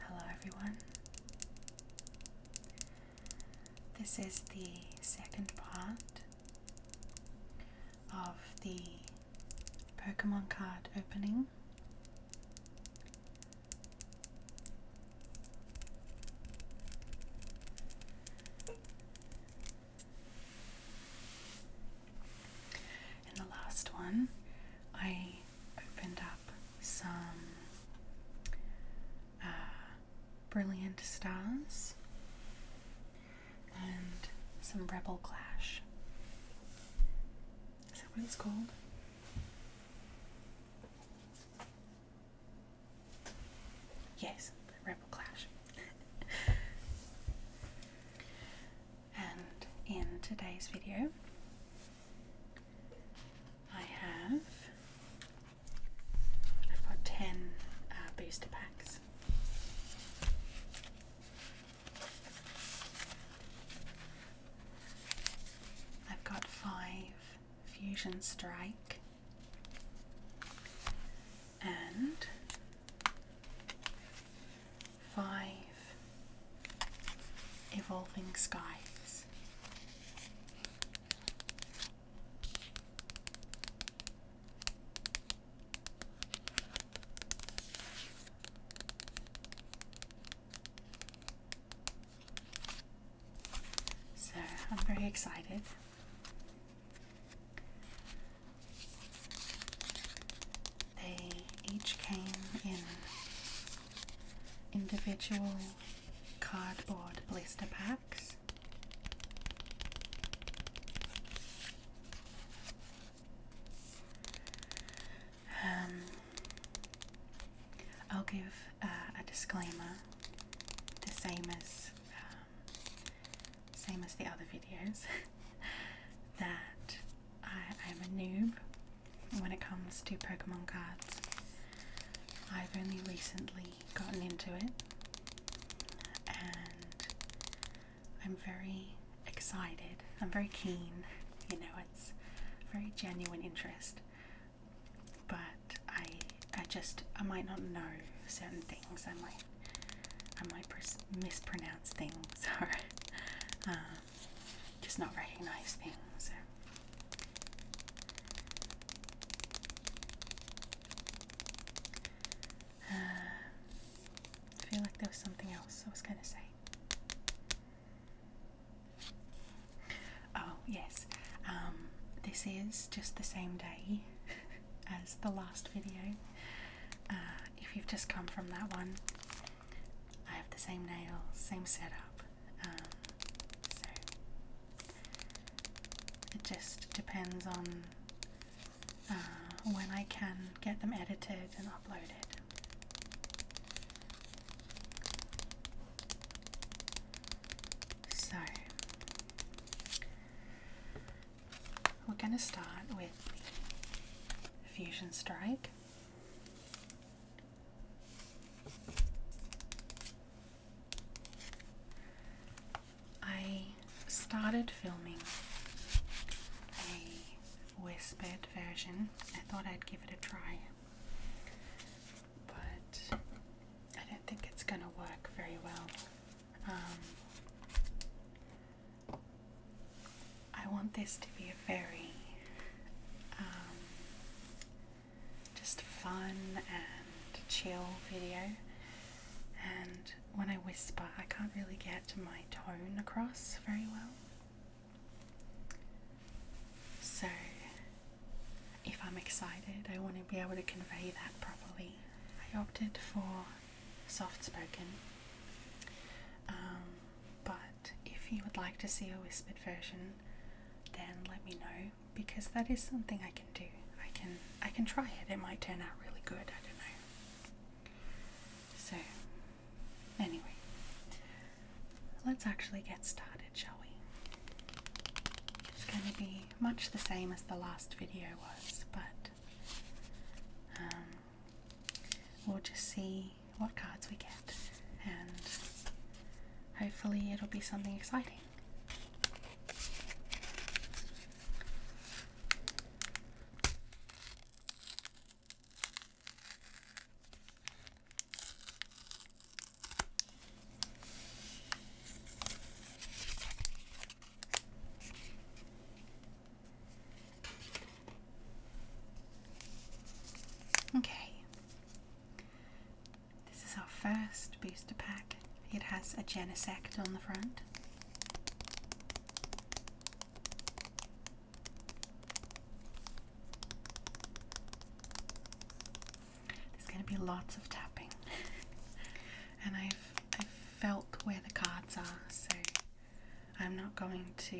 Hello, everyone. This is the second part of the Pokemon card opening. And the last one, I opened up some uh, Brilliant Stars and some Rebel Clash. Is that what it's called? Yes, Rebel Clash. and in today's video, I have I've got ten uh, booster packs. I've got five Fusion Strike and five Evolving Skies. So I'm very excited. They each came in individual cardboard blister packs. Um, I'll give uh, a disclaimer, the same as um, same as the other videos, that I am a noob when it comes to Pokemon cards. I've only recently gotten into it, and I'm very excited. I'm very keen. You know, it's very genuine interest, but I I just I might not know certain things. I might I might mispronounce things or um, just not recognize things. I feel like there was something else I was going to say. Oh, yes. Um, this is just the same day as the last video. Uh, if you've just come from that one, I have the same nails, same setup. Um, so it just depends on uh, when I can get them edited and uploaded. So, we're going to start with Fusion Strike. I started filming a whispered version. I thought I'd give it a try, but I don't think it's going to work very well. Um, I want this to be a very um, just fun and chill video, and when I whisper, I can't really get my tone across very well. So, if I'm excited, I want to be able to convey that properly. I opted for soft spoken, um, but if you would like to see a whispered version, then let me know because that is something I can do. I can I can try it. It might turn out really good. I don't know. So anyway, let's actually get started, shall we? It's going to be much the same as the last video was, but um, we'll just see what cards we get, and hopefully it'll be something exciting. Okay, this is our first booster pack it has a Janus Act on the front. There's going to be lots of tapping, and I've I've felt where the cards are, so I'm not going to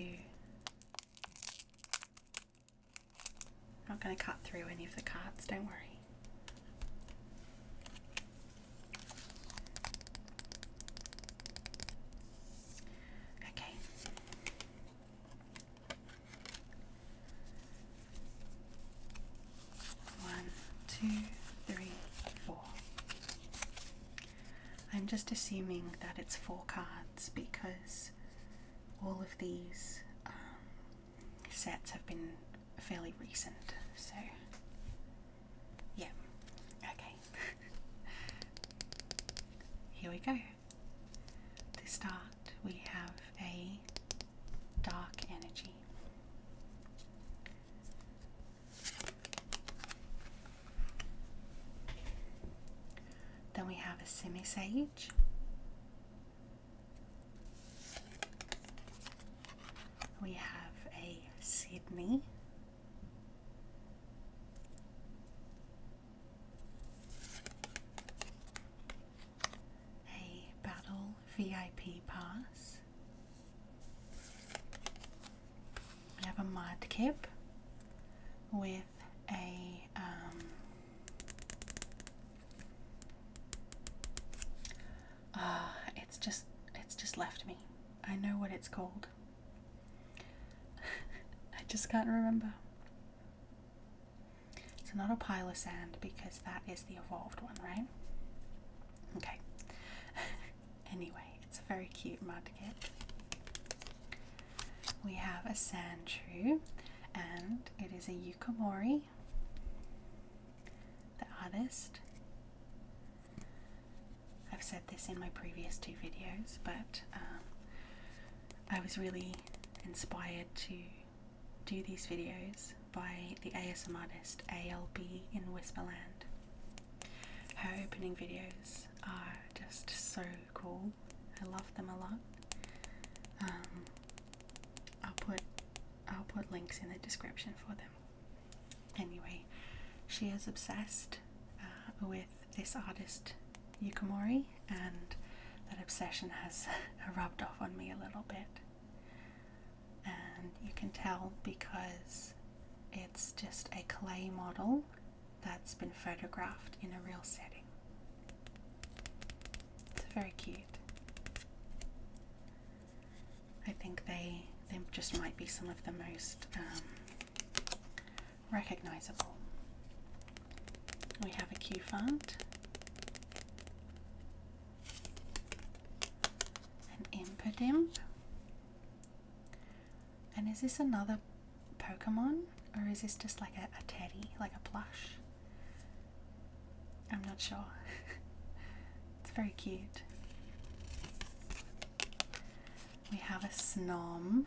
I'm not going to cut through any of the cards. Don't worry. Okay. One, two, three, four. I'm just assuming that it's four cards because all of these um, sets have been fairly recent, so yeah, okay. Here we go. To start, we have a dark energy. Then we have a semi sage, we have a Sydney. A battle VIP pass. We have a Mudkip with a um, uh, it's just it's just left me. I know what it's called. I just can't remember. It's not a pile of sand because that is the evolved one, right? Okay. anyway, it's a very cute mud We have a sand tree, and it is a Yukamori. The artist. I've said this in my previous two videos, but um, I was really inspired to do these videos by the ASM artist ALB in Whisperland. Her opening videos are just so cool. I love them a lot. Um, I'll put I'll put links in the description for them. Anyway, she is obsessed uh, with this artist Yukimori, and that obsession has rubbed off on me a little bit. And you can tell because it's just a clay model that's been photographed in a real setting. It's very cute. I think they they just might be some of the most um, recognizable. We have a Q font, an Impidimp, and is this another Pokemon or is this just like a, a teddy, like a plush? I'm not sure. it's very cute. We have a Snom,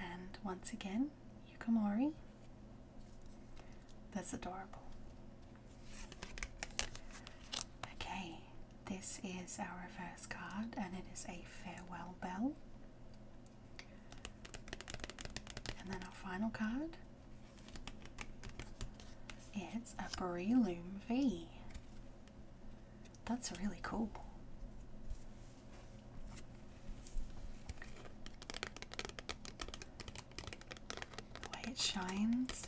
and once again, Yukamori. That's adorable. Okay, this is our reverse card, and it is a farewell bell. And then our final card it's a Breloom V. That's really cool. The way it shines.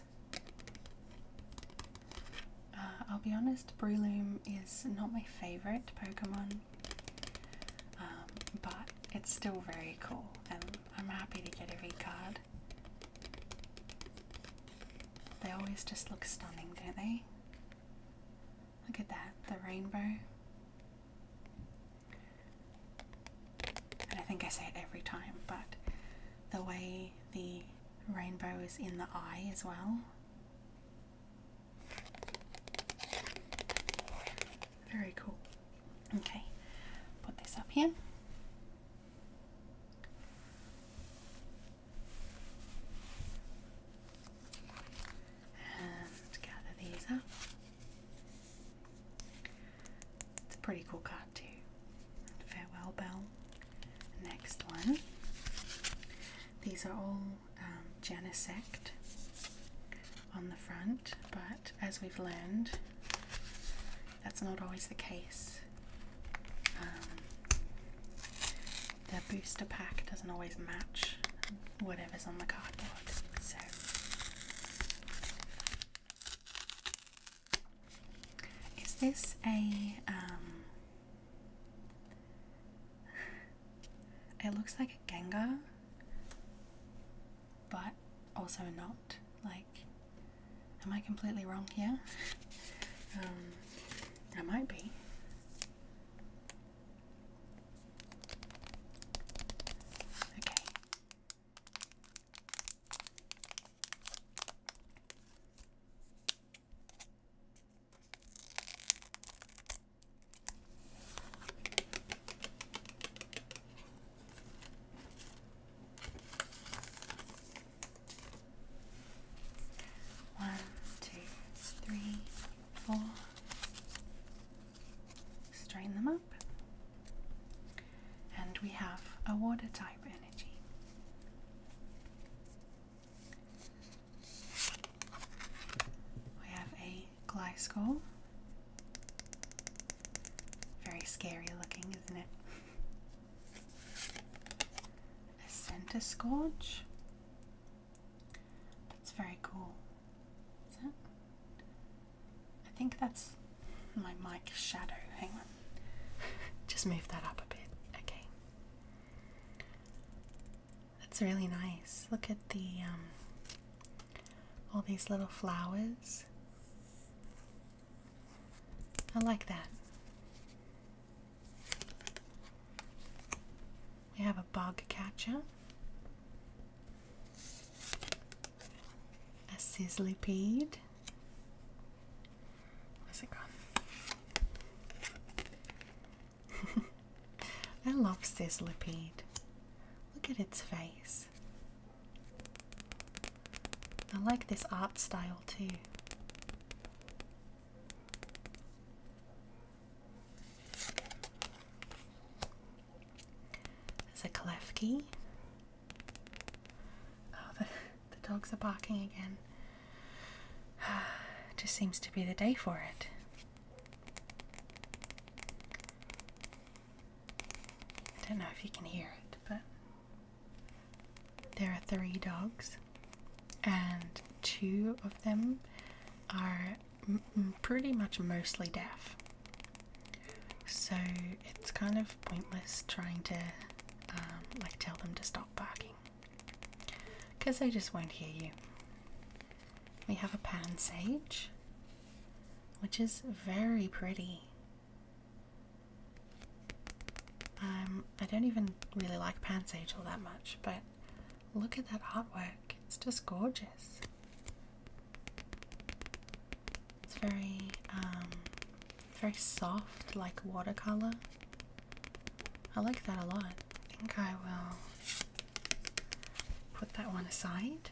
Uh, I'll be honest, Breloom is not my favourite Pokemon, um, but it's still very cool and I'm happy to get every card they always just look stunning, don't they? Look at that, the rainbow. And I think I say it every time, but the way the rainbow is in the eye as well. Very cool. Okay, put this up here. And gather these up. It's a pretty cool card too. Farewell Bell. Next one. These are all genisect um, on the front, but as we've learned, that's not always the case. Um, the booster pack doesn't always match whatever's on the cardboard, so is this a um, it looks like a Genga, but also not like am I completely wrong here? Um, I might be. Okay. One, two, three, four. Strain them up. And we have a water type energy. We have a glycol, very scary looking, isn't it? A center scourge. That's very cool. Is that? I think that's my mic shadow. Hang on. Just move that up a bit. Okay. That's really nice. Look at the um all these little flowers. I like that. We have a bug catcher, a sizzlipede. Where's it gone? I love sizzlipede. Look at its face. I like this art style too. There's a Klefki. Oh, the, the dogs are barking again. Just seems to be the day for it. I don't know if you can hear it, but there are three dogs, and two of them are pretty much mostly deaf. So it's kind of pointless trying to um, like tell them to stop barking because they just won't hear you. We have a pan sage, which is very pretty. Um, I don't even really like Pants all that much, but look at that artwork. It's just gorgeous. It's very, um, very soft, like watercolor. I like that a lot. I think I will put that one aside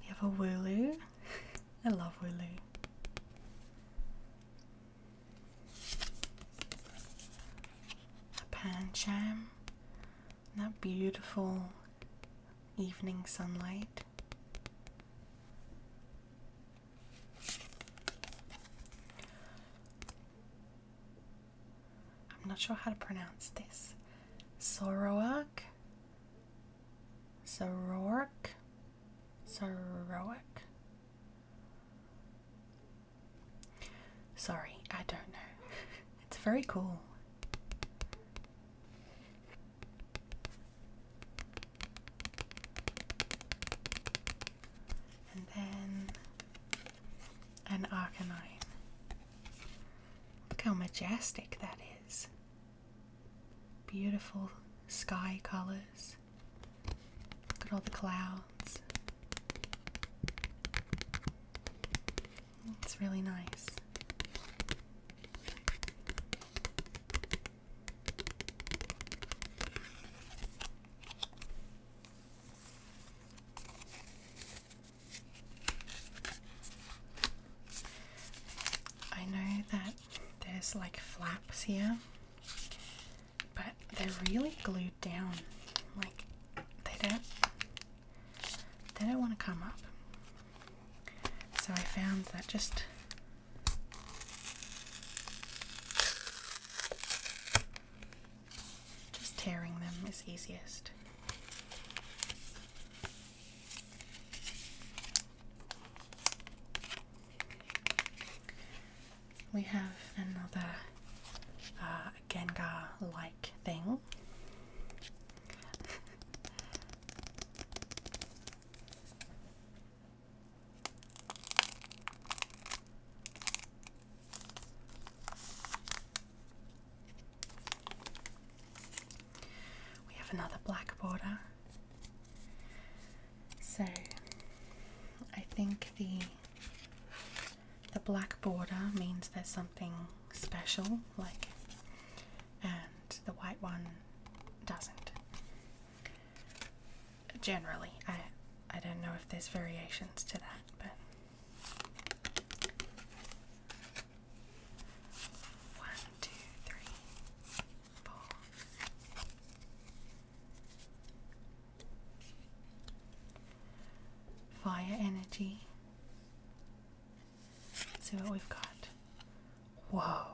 we have a Wooloo. I love Wooloo. A Pancham. That beautiful evening sunlight. I'm not sure how to pronounce this. Sorowak Sororic? Sororic? Sorry, I don't know. It's very cool. And then an Arcanine. Look how majestic that is beautiful sky colors. Look at all the clouds. It's really nice. I know that there's like flaps here, but they're really glued down. Like they don't they don't want to come up. So I found that just just tearing them is easiest. We have another uh, Gengar-like thing. We have another black border. So I think the the black border means there's something special, like, and the white one doesn't. Generally, I I don't know if there's variations to that, but one, two, three, four. Fire energy. see what we've got. Whoa.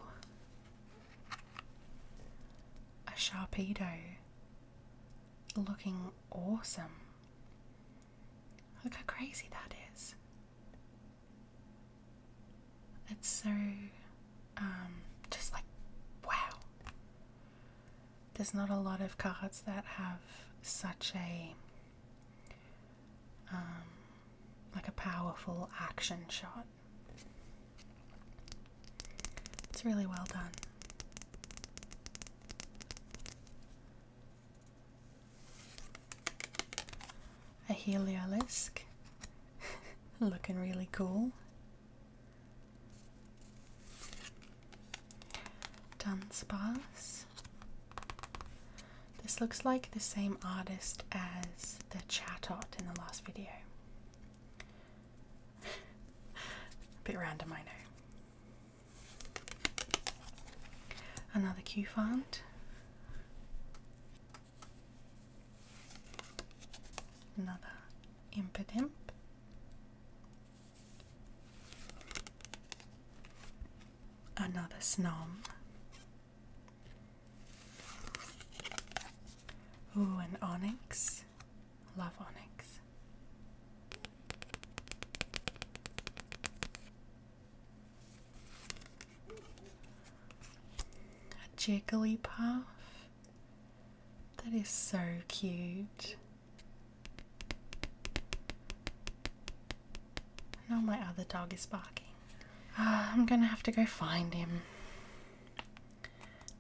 A Sharpedo looking awesome. Look how crazy that is. It's so, um, just like, wow. There's not a lot of cards that have such a, um, like a powerful action shot. It's really well done. A Heliolisk, looking really cool. Dance bars. This looks like the same artist as the Chatot in the last video. A bit random, I know. Another cue found. Another impidimp. Another snom. Ooh, an onyx. Love onyx. A jiggly puff. That is so cute. Now my other dog is barking. Uh, I'm gonna have to go find him.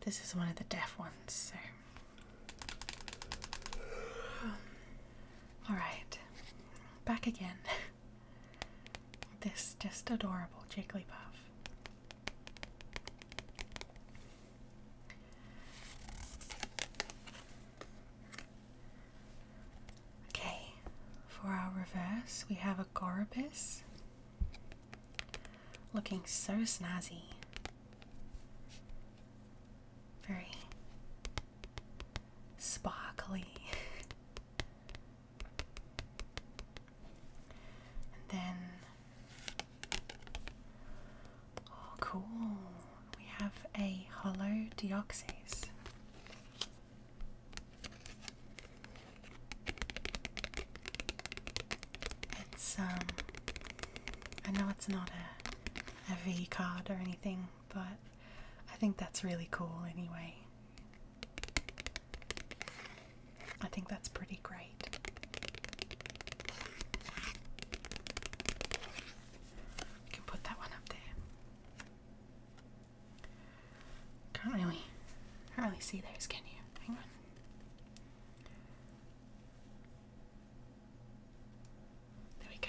This is one of the deaf ones, so. Alright, back again. this just adorable Jigglypuff. Okay, for our reverse, we have a Gorobus looking so snazzy. Very sparkly. And then, oh, cool! We have a hollow Deoxys. It's um, I know it's not a a V card or anything, but I think that's really cool anyway. I think that's pretty great. You can put that one up there. Can't really, can't really see those, can you? Hang on. There we go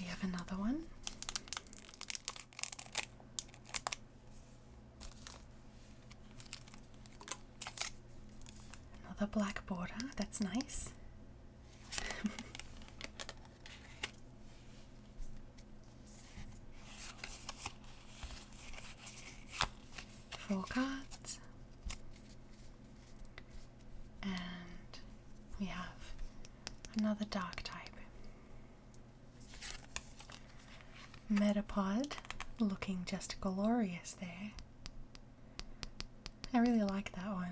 we have another one. Another black border, that's nice. Four cards, and we have another dark type. Metapod looking just glorious there. I really like that one.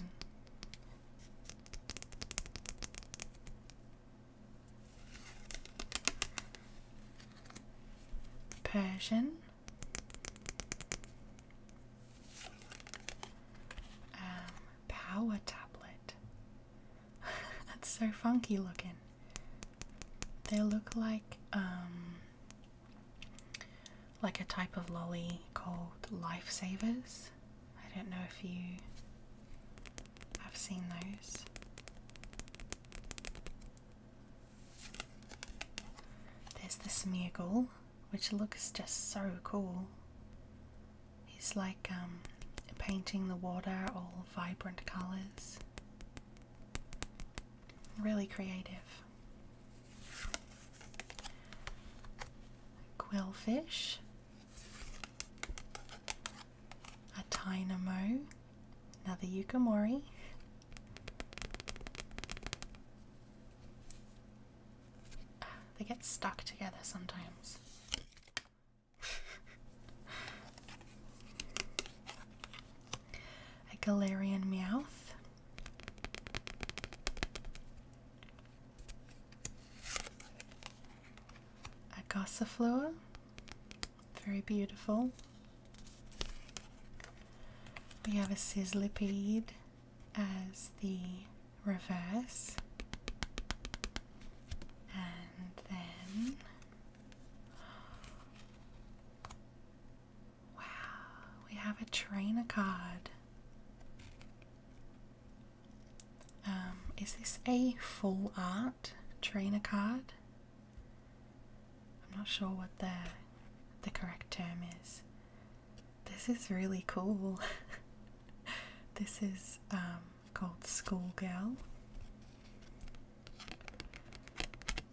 Persian. Um, power tablet. That's so funky looking. They look like um like a type of lolly called lifesavers. I don't know if you have seen those. There's the Smeargle, which looks just so cool. He's like um, painting the water all vibrant colours. Really creative. Quillfish, a Tynamo, another Yukimori, they get stuck together sometimes a Galarian Meowth. A Gossifleur. Very beautiful. We have a Sizzlipede as the reverse. And then Wow, we have a Trainacod. Um, is this a full art trainer card? I'm not sure what the the correct term is. This is really cool. this is um called Schoolgirl.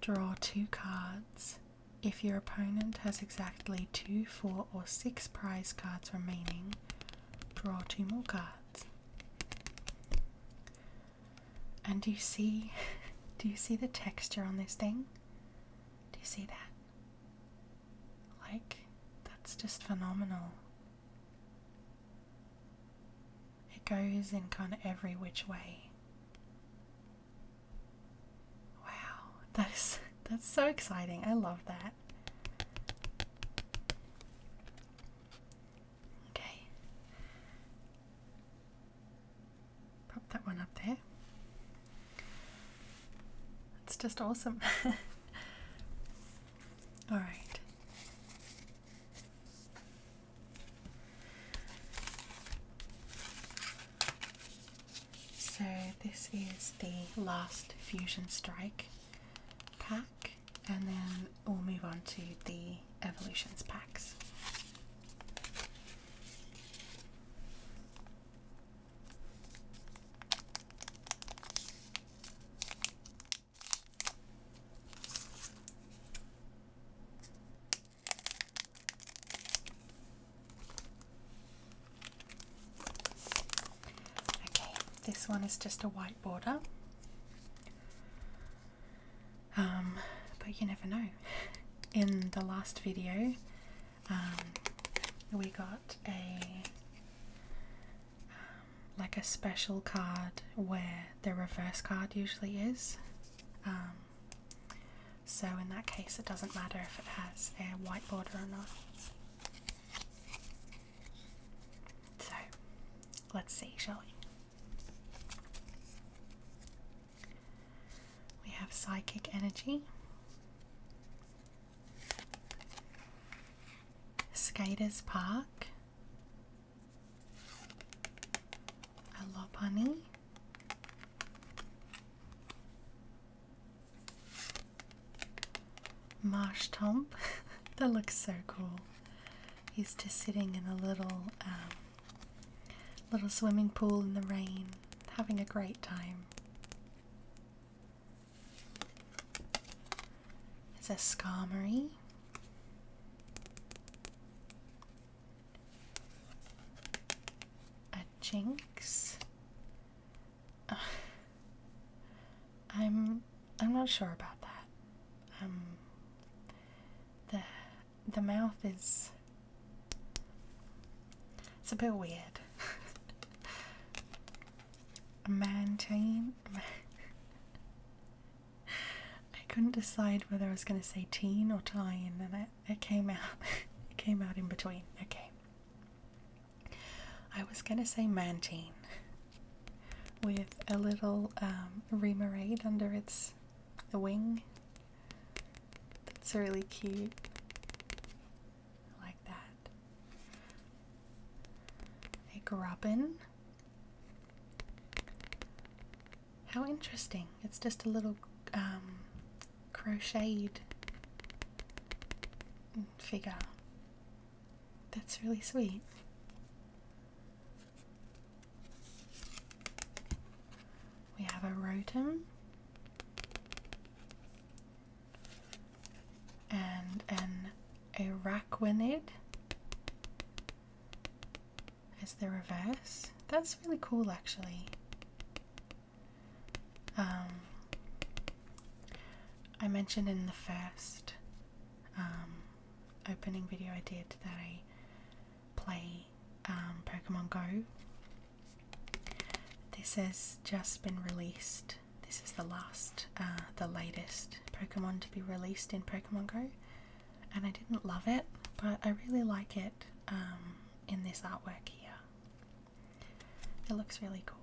Draw two cards. If your opponent has exactly two, four, or six prize cards remaining, draw two more cards. And do you see do you see the texture on this thing? Do you see that? Like that's just phenomenal. It goes in kind of every which way. Wow, that is that's so exciting. I love that. Okay. Pop that one up there. It's just awesome. All right. So, this is the last Fusion Strike pack, and then we'll move on to the Evolutions packs. Okay, this one is just a white border. Um, but you never know. In the last video, um, we got a like a special card where the reverse card usually is. Um, so, in that case, it doesn't matter if it has a white border or not. So, let's see, shall we? We have psychic energy, Skaters Park, Hello, bunny. Marsh Tomp. that looks so cool. He's just sitting in a little um, little swimming pool in the rain, having a great time is a skarmory. A jinx. I'm I'm not sure about that. Um the the mouth is it's a bit weird. a man chain I couldn't decide whether I was going to say teen or tyne, and it, it came out. it came out in between. Okay. I was going to say mantine, with a little um, remoraid under its wing. That's really cute. like that. A grubbin. How interesting. It's just a little um, crocheted figure. That's really sweet. We have a roton and an araquanid is the reverse. That's really cool actually. Um, I mentioned in the first um, opening video I did that I play um, Pokemon Go. This has just been released. This is the last, uh, the latest Pokemon to be released in Pokemon Go and I didn't love it, but I really like it um, in this artwork here. It looks really cool.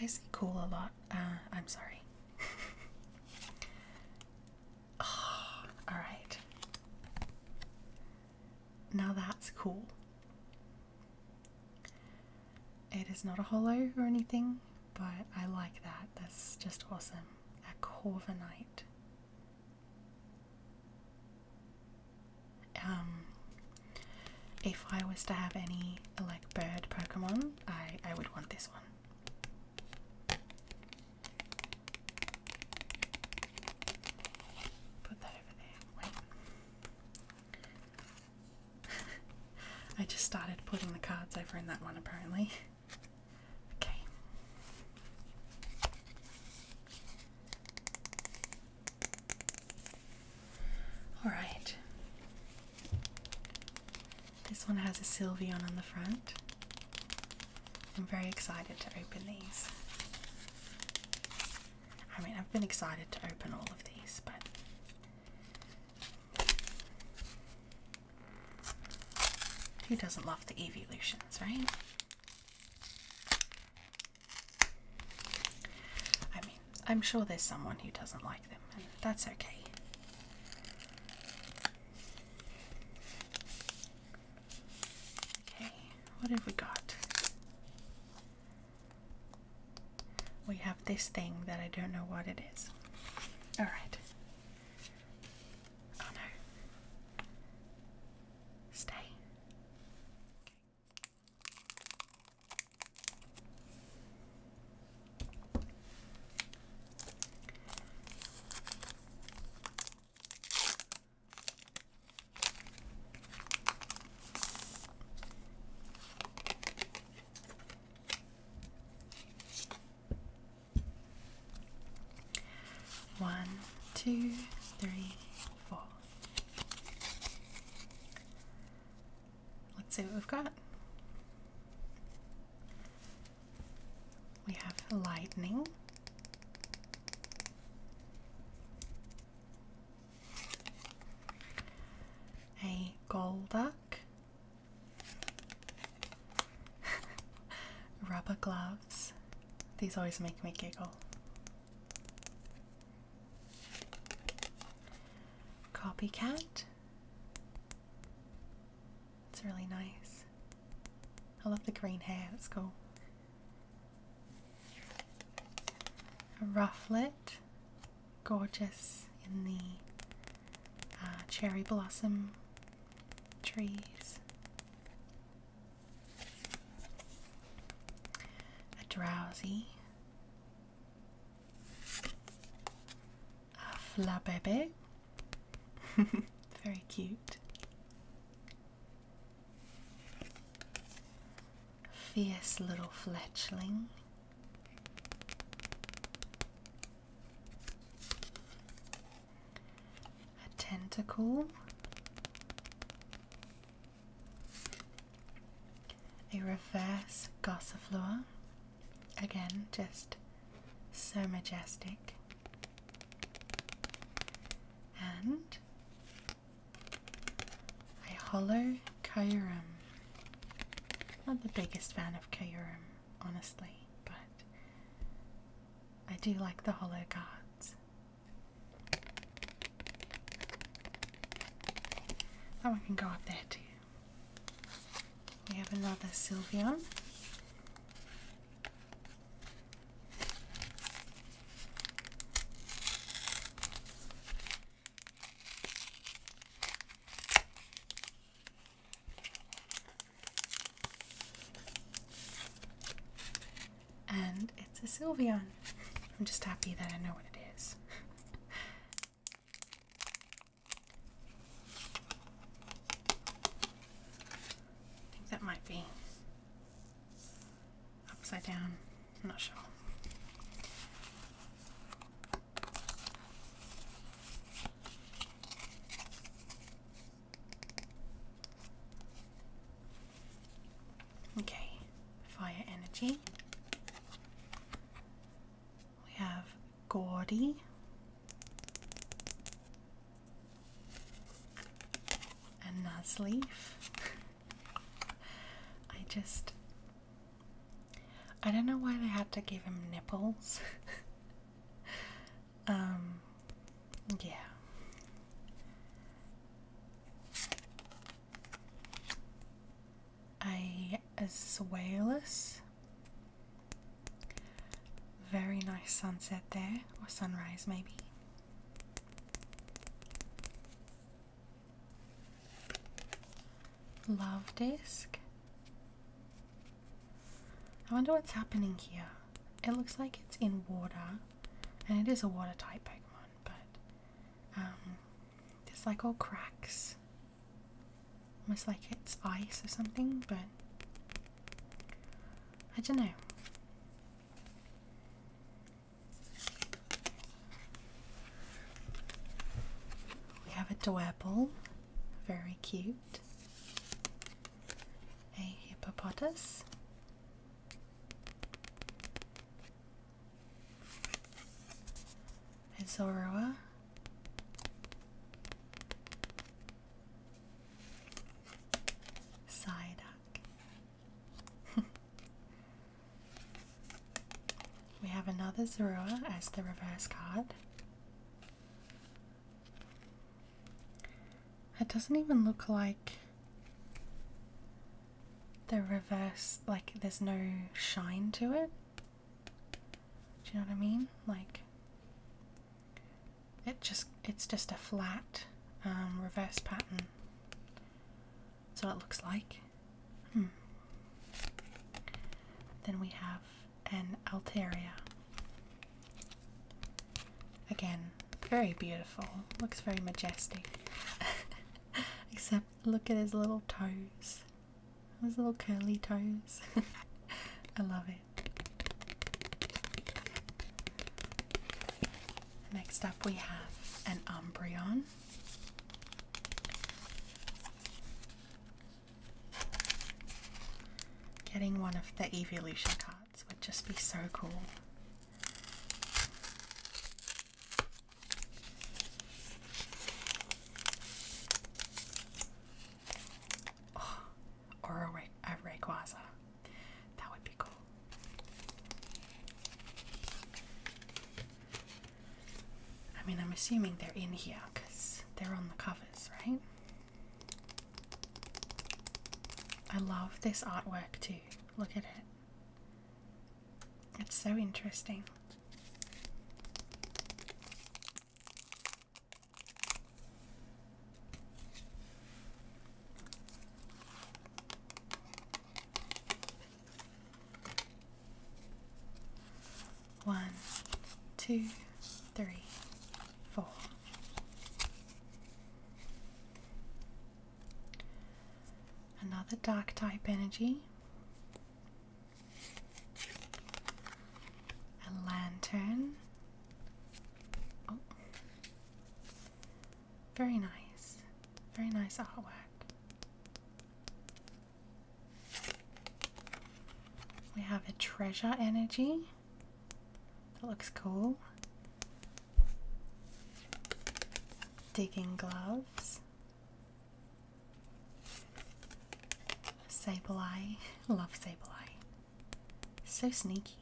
I say cool a lot. Uh, I'm sorry. oh, ah, all right. Now that's cool. It is not a hollow or anything, but I like that. That's just awesome. A Corviknight. Um, if I was to have any like bird Pokemon, I, I would want this one. Put that over there. Wait. I just started putting the cards over in that one apparently. Okay. Alright. This one has a Sylveon on the front. I'm very excited to open these. I mean, I've been excited to open all of these, but he doesn't love the evolutions, right? I mean, I'm sure there's someone who doesn't like them, that's okay. What have we got? We this thing that I don't know what it is. Alright. Oh no. Stay. One, two, three, four. Let's see what we've got. We have lightning. A golduck, Rubber gloves. These always make me giggle. Copycat. It's really nice. I love the green hair, it's cool. Rufflet gorgeous in the uh, cherry blossom trees. A drowsy, a flabébé, very cute, fierce little fledgling. A tentacle. A reverse gossifleur. Again, just so majestic. And a hollow Kyurem. Not the biggest fan of Kyurem honestly, but I do like the hollow cards. That oh, one can go up there too. We have another Sylvian. And it's a Sylveon. I'm just happy that I know what it is. I think that might be upside down. I'm not sure. Okay, fire energy. We have Gordy. And Nasleaf. I just I don't know why they had to give him nipples. um, yeah. A Azuelis. Very nice sunset there, or sunrise maybe. Love disc. I wonder what's happening here. It looks like it's in water, and it is a watertight Pokemon, but um, there's like all cracks. Almost like it's ice or something, but I don't know. We have a Dwebble, very cute. A hippopotamus. A Zorua. Psyduck. We have another Zorua as the reverse card. It doesn't even look like the reverse, like there's no shine to it. Do you know what I mean? Like it just it's just a flat um, reverse pattern. That's what it looks like. Hmm. Then we have an Altaria. Again, very beautiful. Looks very majestic. Except look at his little toes. His little curly toes. I love it. Next up we have an Umbreon. Getting one of the evolution cards would just be so cool. Oh, or a Rayquaza. That would be cool. I mean, I'm assuming they're in here because they're on the covers, right? I love this artwork too. Look at it. It's so interesting. One, two, three, four. Another dark type energy. A lantern. Oh. Very nice. Very nice artwork. We have a treasure energy. That looks cool. Digging gloves. Sableye. Love Sableye. So sneaky.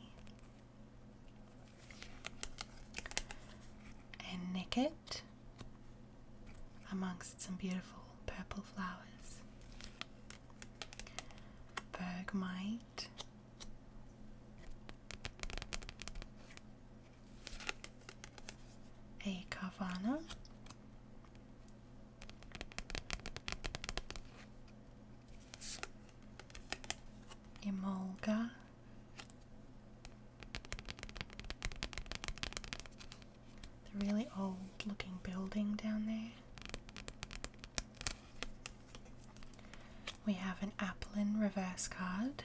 A Nicket amongst some beautiful purple flowers. Bergmite. A Carvana. Emolga the really old looking building down there. We have an Applin reverse card.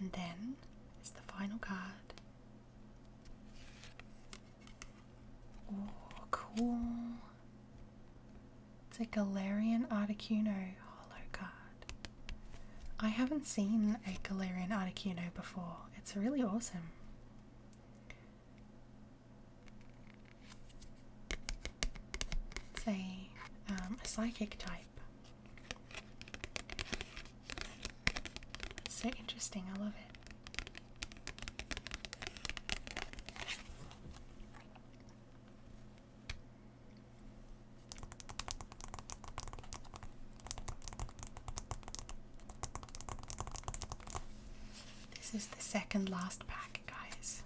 And then it's the final card. Oh, cool. It's a Galarian Articuno holo card. I haven't seen a Galarian Articuno before. It's really awesome. It's a, um, psychic type. It's so interesting, I love it. This is the second last pack, guys.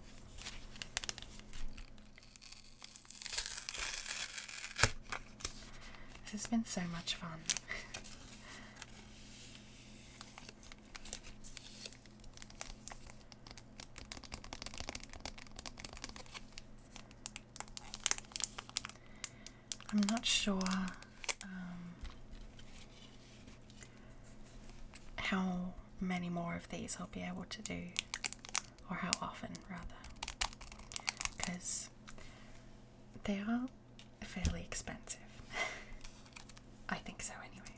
This has been so much fun. I'm not sure um, how many more of these I'll be able to do, or how often rather, because they are fairly expensive. I think so, anyway.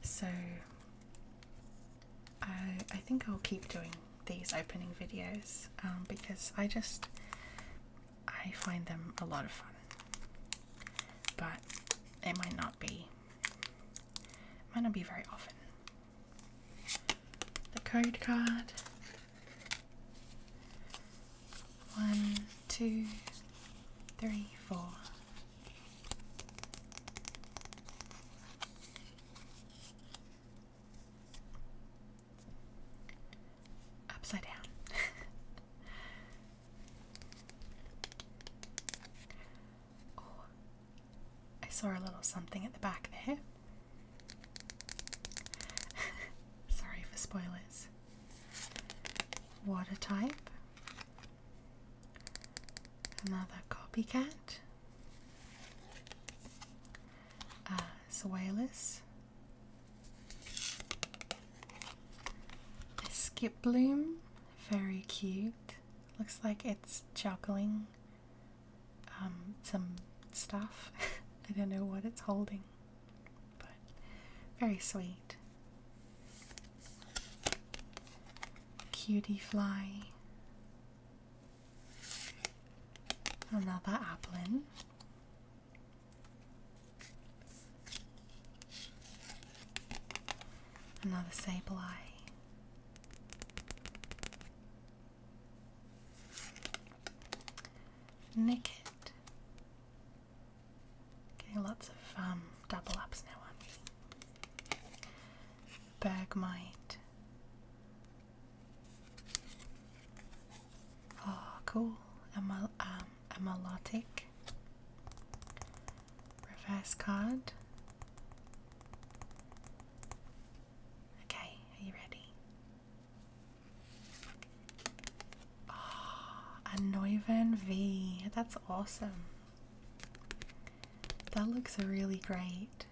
So I, I think I'll keep doing these opening videos um, because I just I find them a lot of fun. But it might not be might not be very often. The code card. One, two, three, four. Upside down. oh, I saw a little something at the back there. Sorry for spoilers. Water type. Another copycat uh, Zoilus, Skip Bloom, very cute. Looks like it's juggling um, some stuff. I don't know what it's holding, but very sweet. Cutie Fly, Another applin. Another sable eye. Nick it. Getting lots of um, double ups now, Bag might. Oh, cool. Amal um, amalotic. Reverse card. Okay, are you ready? Oh, ah, a Neuven V. That's awesome. That looks really great.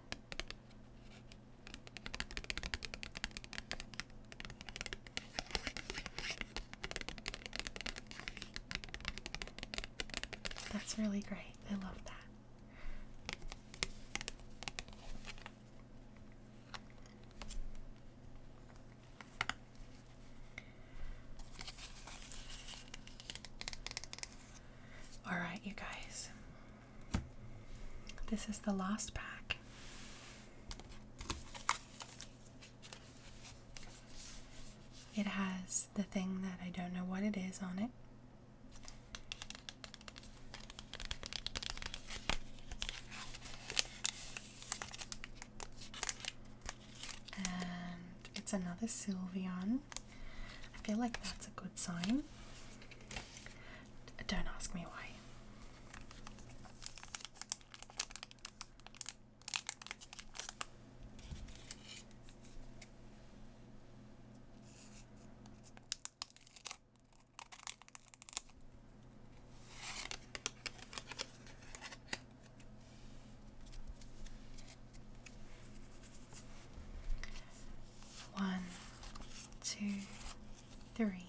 That's really great. I love that. All right, you guys, this is the last pack. It has the thing that I don't know what it is on it. And it's another Sylveon. I feel like that's a good sign. Don't ask me why. One, two, three,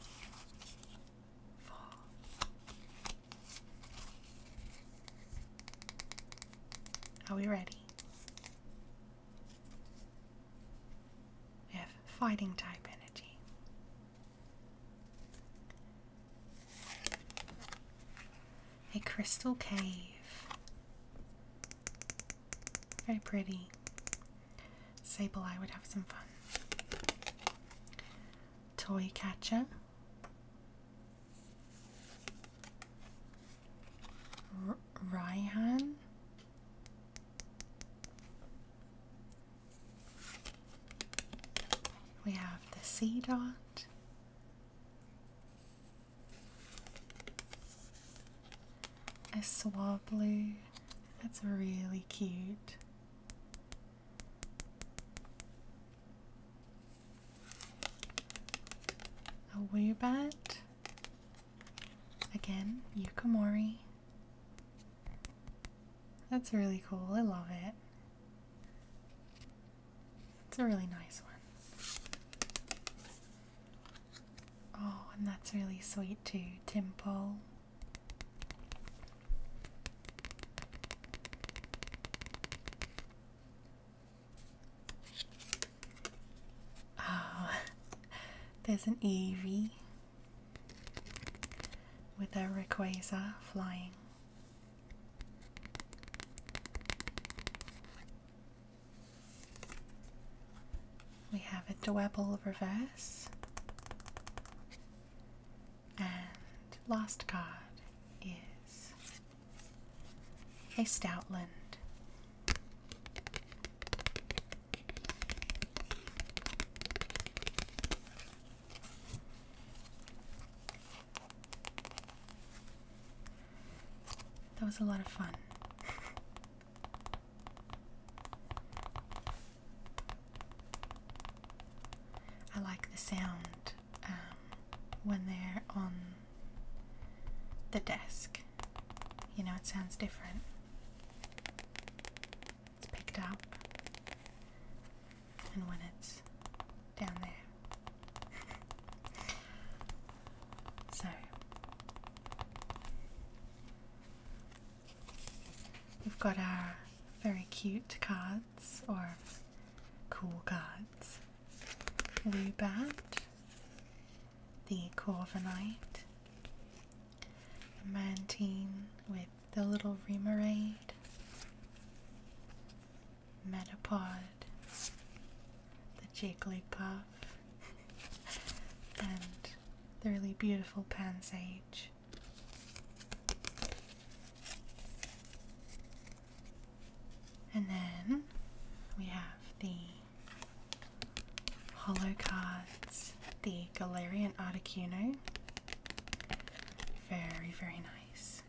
four. Are we ready? We have fighting type energy. A crystal cave. Very pretty. Sable Eye would have some fun. Toy Catcher. R Raihan. We have the C Dot a Swablu. That's really cute. A bat. Again, Yukamori. That's really cool. I love it. It's a really nice one. Oh, and that's really sweet too, Timple. Oh, ah, there's an EV with a Rayquaza flying. We have a Dwebble reverse and last card is a Stoutland. That was a lot of fun. I like the sound um, when they're on the desk. You know, it sounds different. It's picked up, and when it's down there. So we've got our very cute cards or cool cards. Lubat, the Corviknight, Mantine with the little Remoraid, Metapod, the Jigglypuff, and the really beautiful pansage. And then we have the hollow cards, the Galarian Articuno. Very, very nice.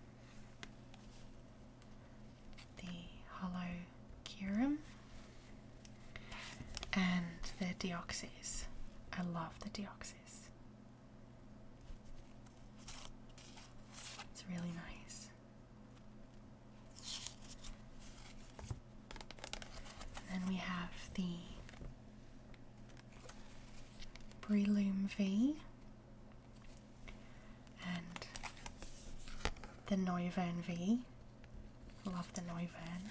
The hollow Kirim and the Deoxys. I love the Deoxys. It's really nice. then we have the Breloom V and the Neuvern V. Love the Neuven.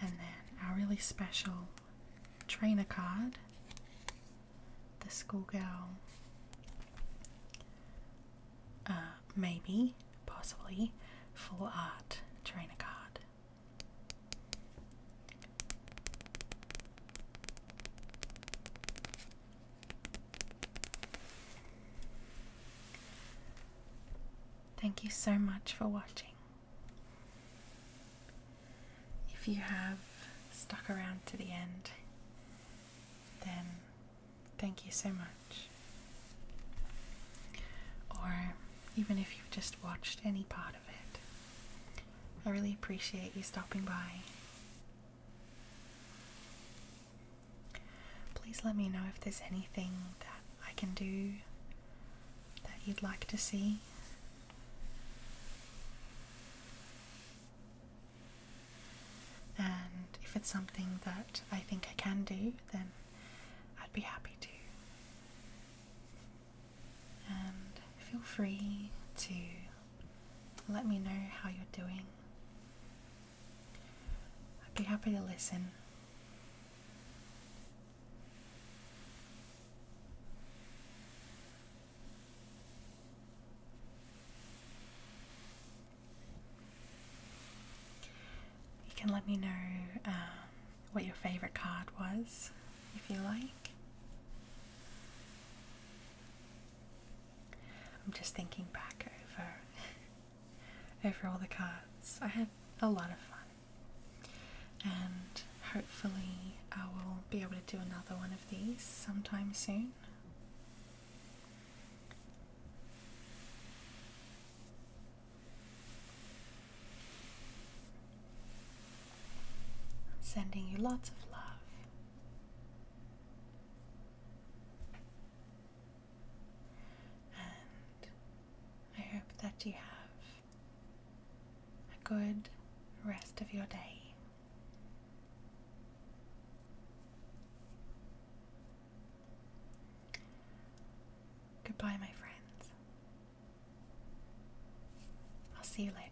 And then our really special trainer card, the schoolgirl. Uh, maybe, possibly, full art trainer card. Thank you so much for watching. If you have stuck around to the end, then thank you so much. Or even if you've just watched any part of it, I really appreciate you stopping by. Please let me know if there's anything that I can do that you'd like to see. And if it's something that I think I can do, then I'd be happy to. And feel free to let me know how you're doing. I'd be happy to listen. You can let me know um, what your favorite card was, if you like. I'm just thinking back over over all the cards. I had a lot of fun, and hopefully, I will be able to do another one of these sometime soon. I'm sending you lots of love. And I hope that you have a good rest of your day. Goodbye, my friends. I'll see you later.